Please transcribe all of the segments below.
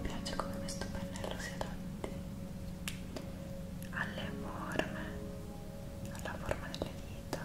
Mi piace come questo pennello si adatti alle forme, alla forma delle dita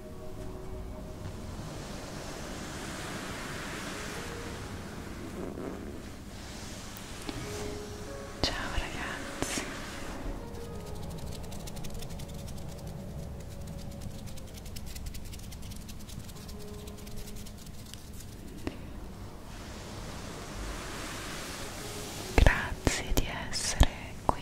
Ciao ragazzi. Grazie di essere qui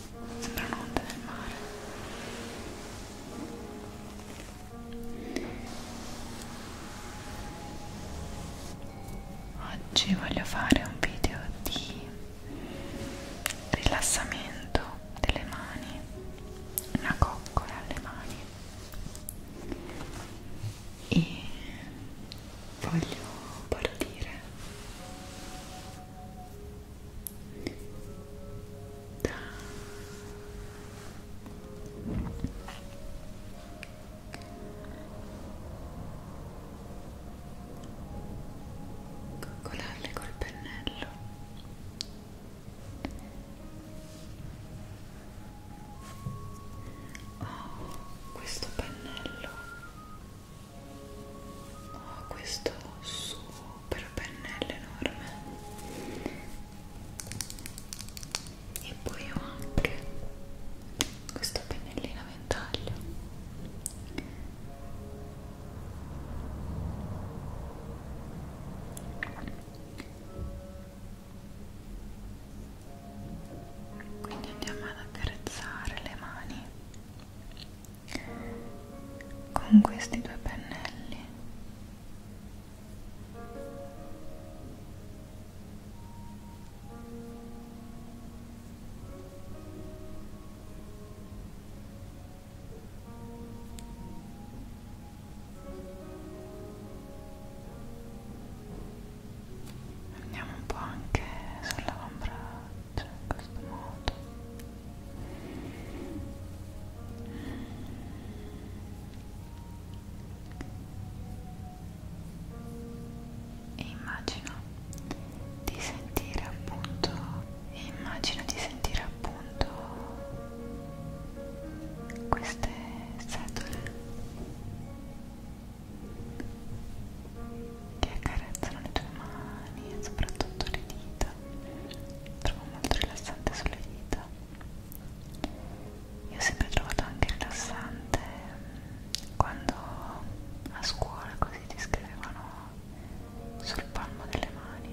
Sembra un'onda del mare. Oggi voglio fare un video di rilassamento delle mani, una coccola alle mani e voglio partire da coccolarle col pennello ho oh, questo pennello ho ah, questo super pennello enorme e poi ho anche questo pennellino a ventaglio quindi andiamo ad accarezzare le mani con questi due pennelli andiamo un po' anche sull'avambraccio in questo modo e immagino di sentire appunto immagino di sentire appunto queste setole che accarezzano le tue mani e soprattutto le dita trovo molto rilassante sulle dita io ho sempre trovato anche rilassante mm, quando a scuola così ti scrivevano sul palmo delle mani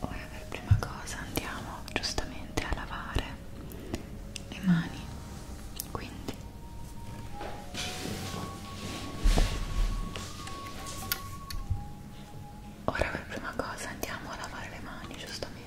Ora per prima cosa andiamo giustamente a lavare le mani, quindi ora per prima cosa andiamo a lavare le mani giustamente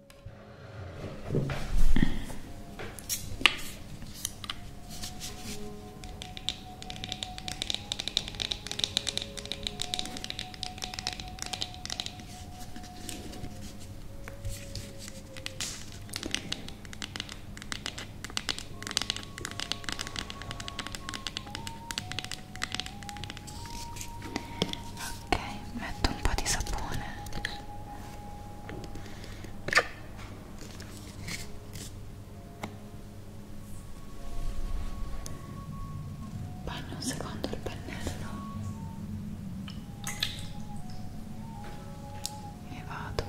Ok, metto un po' di sapone bagno un secondo il pennello e vado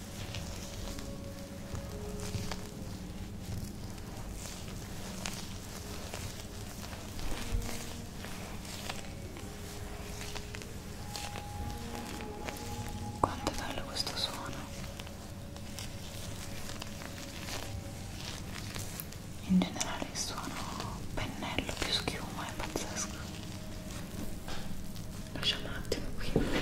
Quanto è bello questo suono in generale il suono pennello più schiuma è pazzesco lasciamo un attimo qui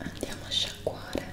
Andiamo a sciacquare.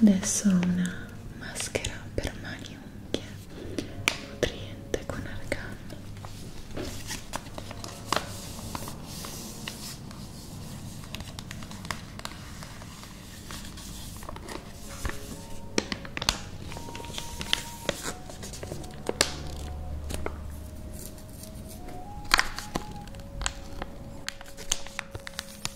Adesso ho una maschera per mani e unghie nutriente con argan.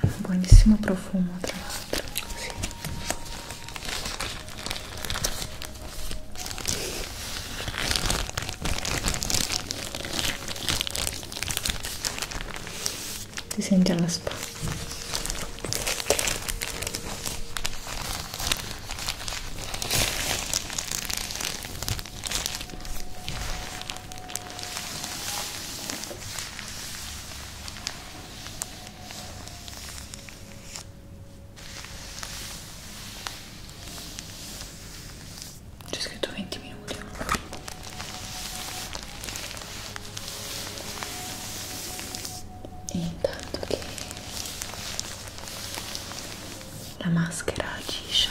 ha un buonissimo profumo tra l'altro sì. ti senti alla spa c'è scritto 20 minuti. E intanto che la maschera agisce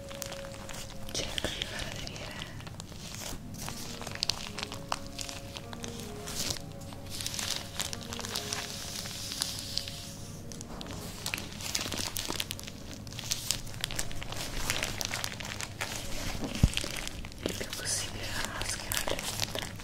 cerco di far aderire il più possibile la maschera all'esterno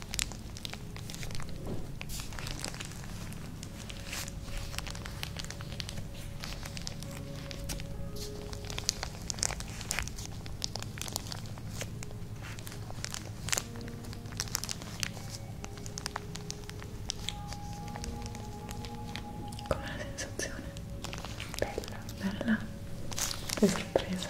Com'è la sensazione? Bella, bella, che sorpresa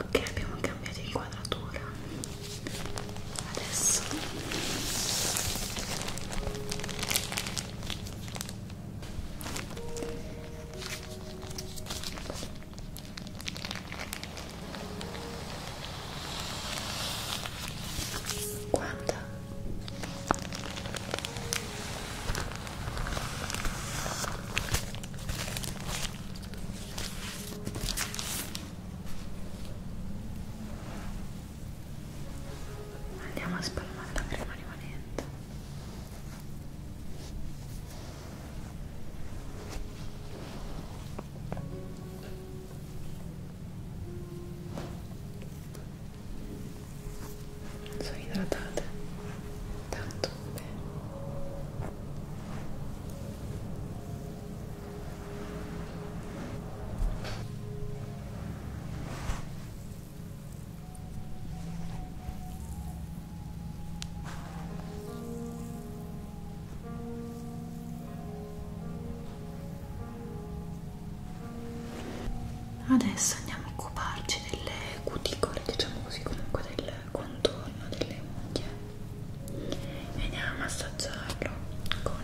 ok abbiamo cambiato inquadratura adesso guarda Andiamo a spalmare la crema rimanente sono idratate tanto bene Adesso andiamo a occuparci delle cuticole, diciamo così, comunque del contorno delle unghie e andiamo a massaggiarlo con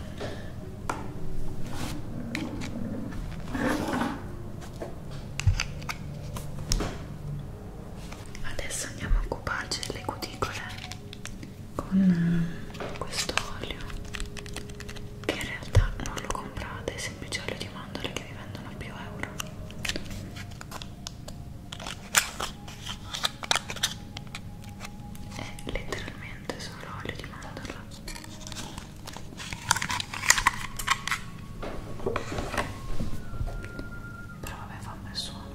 adesso andiamo a occuparci delle cuticole con eh, questo olio che in realtà non lo comprate è semplice olio di mandorle che vi vendono più euro è letteralmente solo olio di mandorla però vabbè fa un bel suono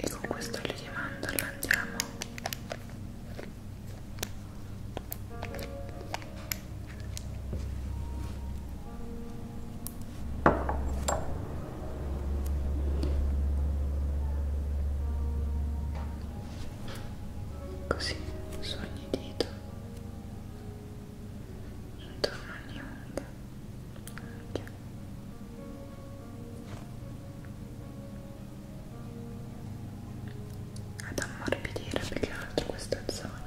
e con questo olio di mandorla andiamo Così su ogni dito intorno a ogni onda anche ad ammorbidire più che altro questa zona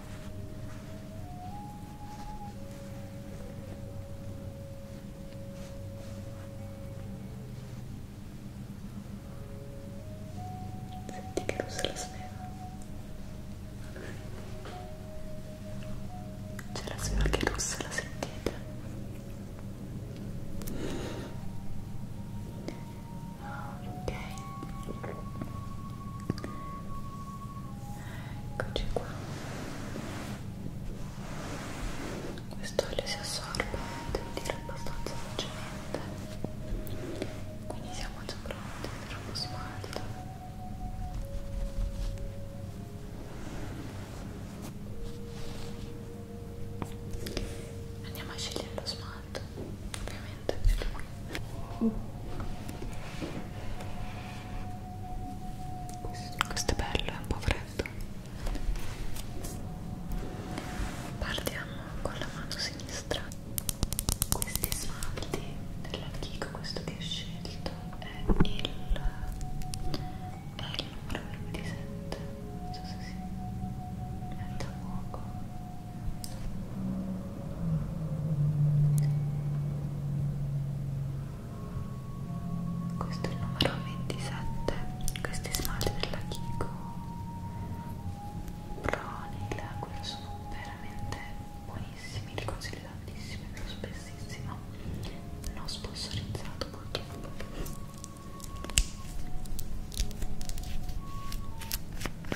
Senti che luce la sveva. C'è la sveva che russa, la sentite? ok eccoci qua questo olio si assorbe devo dire abbastanza velocemente quindi siamo già pronti per uno smalto andiamo a scegliere lo smalto ovviamente per lui questo è bello, è un po' freddo partiamo con la mano sinistra questi smalti della Kiko, questo che ho scelto è il è il numero 27 non so se si mette a fuoco questo è il numero 27 questi smalti della Kiko Proni, l'aquila sono veramente buonissimi li consiglio tantissimo e più spessissimo non sponsorizzato purtroppo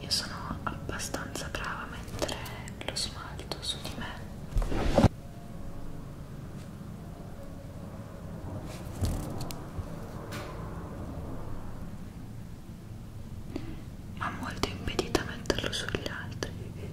Io sono abbastanza brava a mettere lo smalto su di me ma molto impedita a metterlo sugli altri okay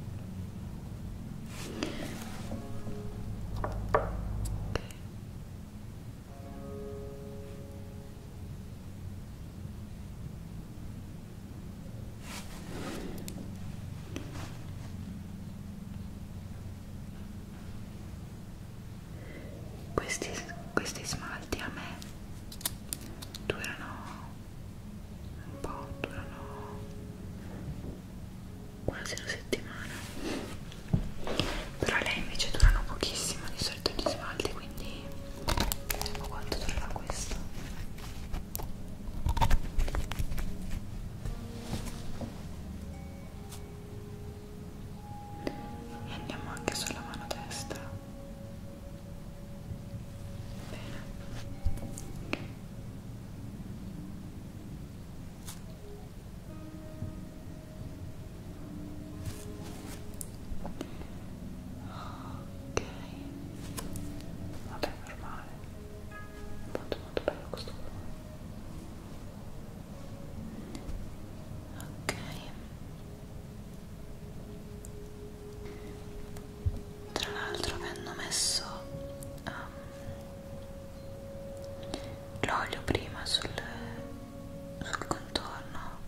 questi, questi smalti a me durano un po', durano quasi una settimana però lei invece durano pochissimo di solito gli smalti quindi vediamo quanto durerà questo e andiamo anche sulla mano destra bene ok vabbè normale molto molto bello questo colore ok tra l'altro mi hanno messo um, l'olio prima sul, sul contorno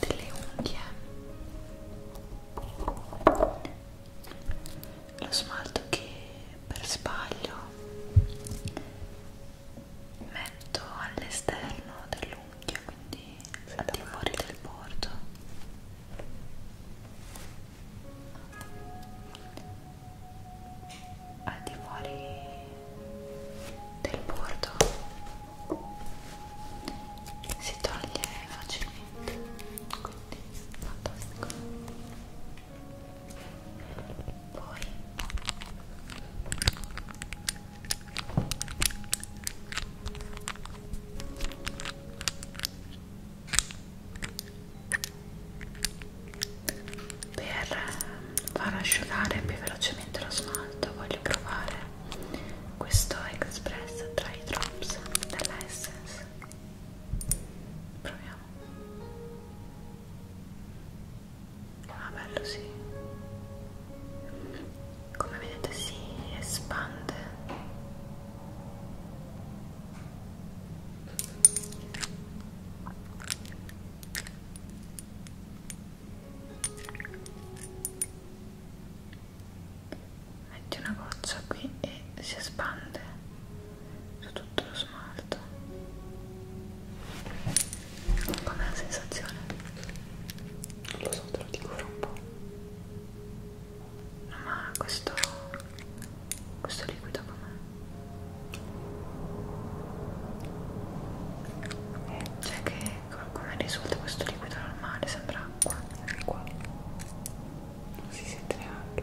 delle unghie lo smalto che per sbaglio metto all'esterno dell'unghia quindi al di fuori del bordo al di fuori del bordo si toglie facilmente quindi fantastico poi per far asciugare più velocemente lo smalto voglio provare questo Express Dry Drops della Essence proviamo Ah, bello, sì. Come vedete si espande. Metti una goccia qui e si espande su tutto lo smalto. Com'è la sensazione? Non lo so, te lo dico fra un po'. No, ma questo... questo liquido com'è? Cioè che come risulta questo liquido normale? Sembra acqua. Qua. Non si sente neanche.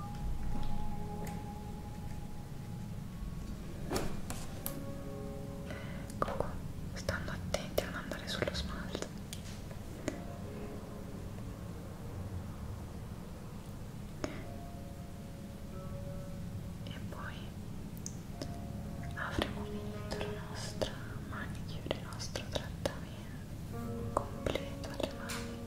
Comunque, stando attenti a non andare sullo smalto. E poi avremo finito la nostra manicure, il nostro trattamento completo alle mani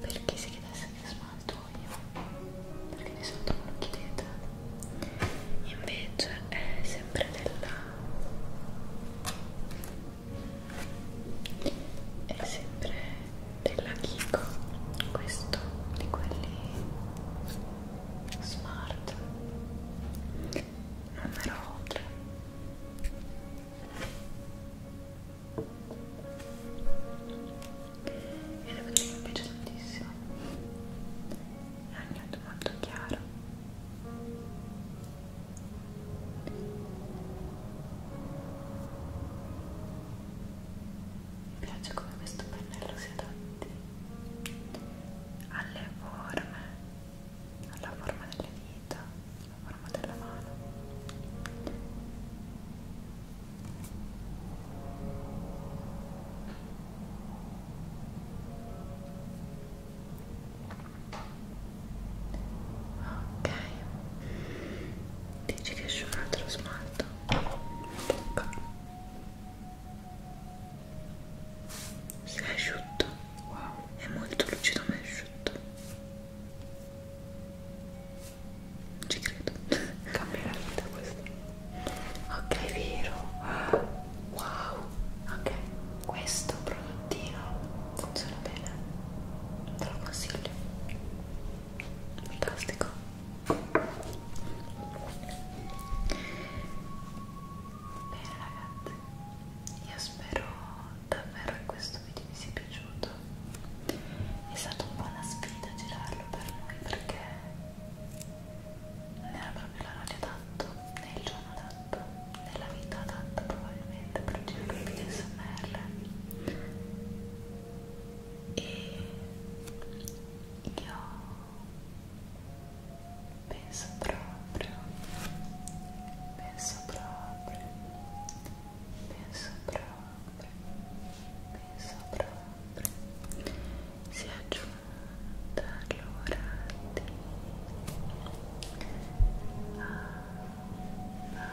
perché si chiedesse che smalto io? Perché di solito non lo chiedete. Invece è sempre della è sempre della Kiko questo di quelli smart numero 3 e devo dire che mi piace tantissimo è un nudo molto chiaro mi piace come questo pennello si adatti alle forme alla forma delle dita alla forma della mano ok dici che c'è un altro smalto Bocca. Ecco. si è asciutto wow. è molto lucido ma è asciutto non ci credo cambia la vita questo ok è vero wow ok questo prodottino funziona bene te lo consiglio fantastico bene ragazzi io spero davvero che questo video vi sia piaciuto è stata un po' una sfida girarlo per noi perché non era proprio l'orario adatto né il giorno adatto né la vita adatta probabilmente per girare il video smr e io penso proprio penso proprio penso proprio penso proprio si è aggiunta allora di a, a, a,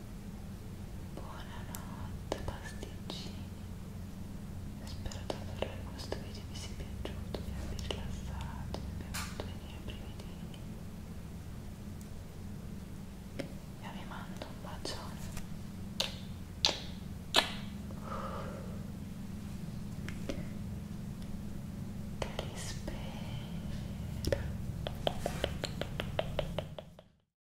Buonanotte pasticcini Spero davvero che questo video vi sia piaciuto, vi abbia rilassato, vi abbia fatto venire i brividini Io vi mando un bacione Che li spero